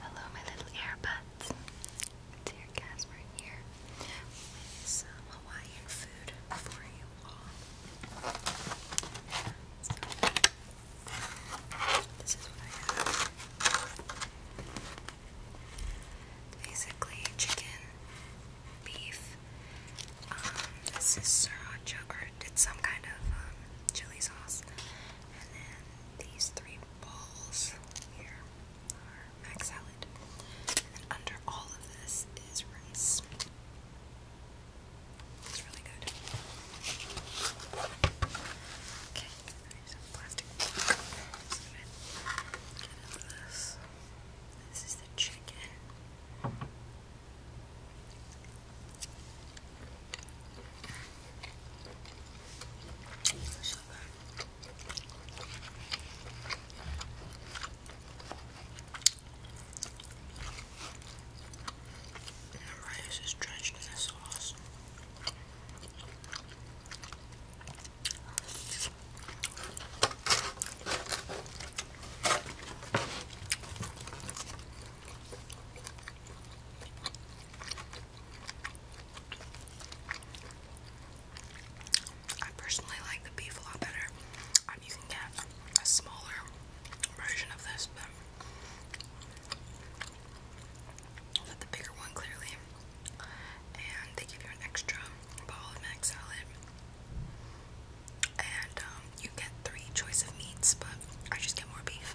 Hello, my little earbuds. Dear Casper here some Hawaiian food for you all. this is what I have. Basically, chicken, beef. Um, this is sriracha, or it's some kind of um, chili sauce. And then these three balls here are max salad. And then under all of this is rice. It's really good. Okay, there's plastic. get out this. This is the chicken. So good. And the rice is drenched in the sauce. I personally like the beef a lot better. Um, you can get a smaller version of this, but the bigger one clearly, and they give you an extra bowl of mac salad. And um, you get three choice of meats, but I just get more beef.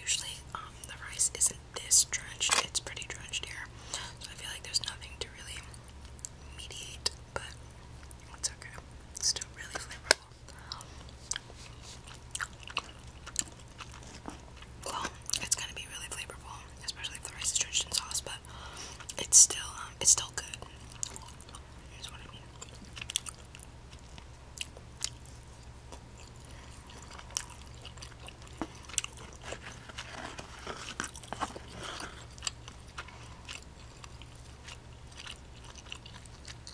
Usually, um, the rice isn't this drenched, it's pretty drenched here, so I feel like there's nothing to really mediate, but it's okay, it's still really flavorful. Well, it's gonna be really flavorful, especially if the rice is drenched in sauce. But it's still, um, it's still good.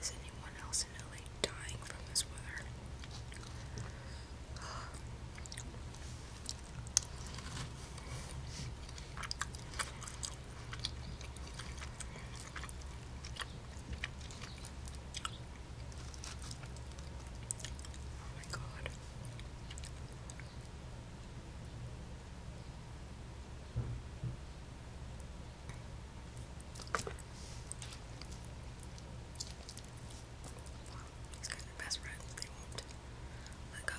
Is anyone else in LA dying from this weather? Oh my god. These guys are best friends. They won't let go.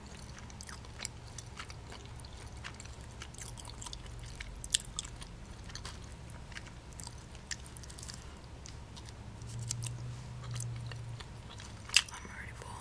I'm already full.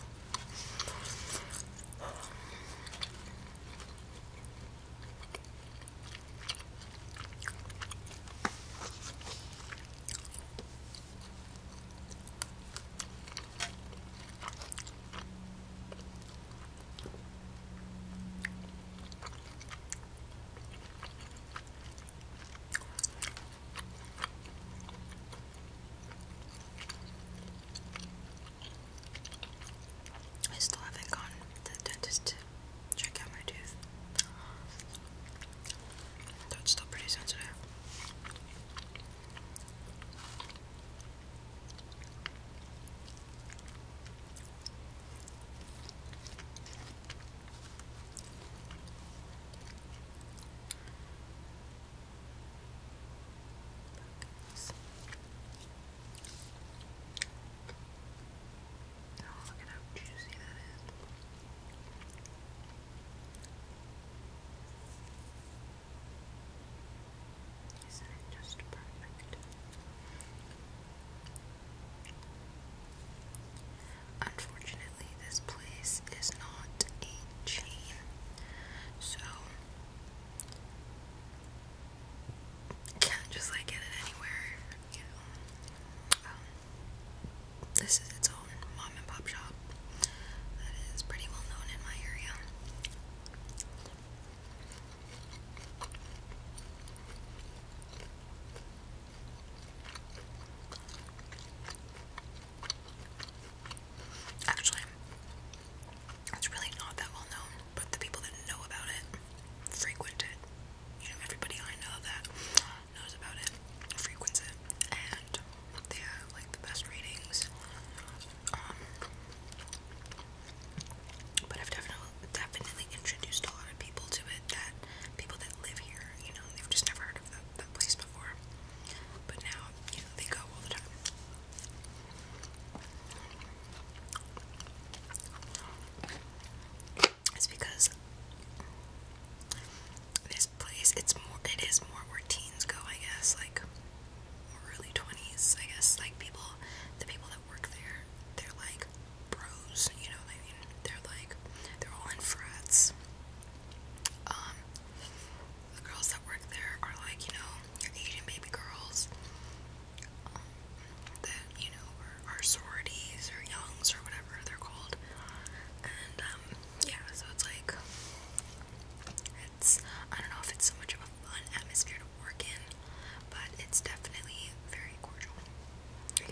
I still haven't gone to the dentist to check out my tooth. Though still pretty sensitive. Focus. Oh, look at how juicy that is. Isn't it just perfect? Unfortunately, this place is not a chain, so can't just like get it anywhere. You know, um, this is its own mom and pop shop that is pretty well known in my area. Actually, it's really not that well known, but the people that know about it frequent it. You know, everybody I know that knows about it frequents it, and they have like the best ratings. Um, but I've definitely definitely introduced a lot of people to it that people that live here, you know, they've just never heard of that, that place before. But now, you know, they go all the time. It's because this place it's more it is more where teens go, I guess, like early 20s, I guess, like people, the people that work there, they're like bros, you know, I mean, they're like, they're all in frats. Um, the girls that work there are like, you know, you're Asian baby girls um, that, you know, are, sororities or youngs or whatever they're called. And, um, yeah, so it's like, it's, I don't know if it's so much of a a atmosphere to work in, but it's definitely very cordial, I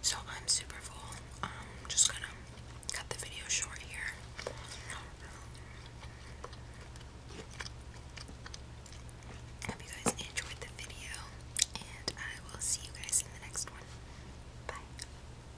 so I'm super full. I'm um, just gonna cut the video short here. hope you guys enjoyed the video, and I will see you guys in the next one. Bye.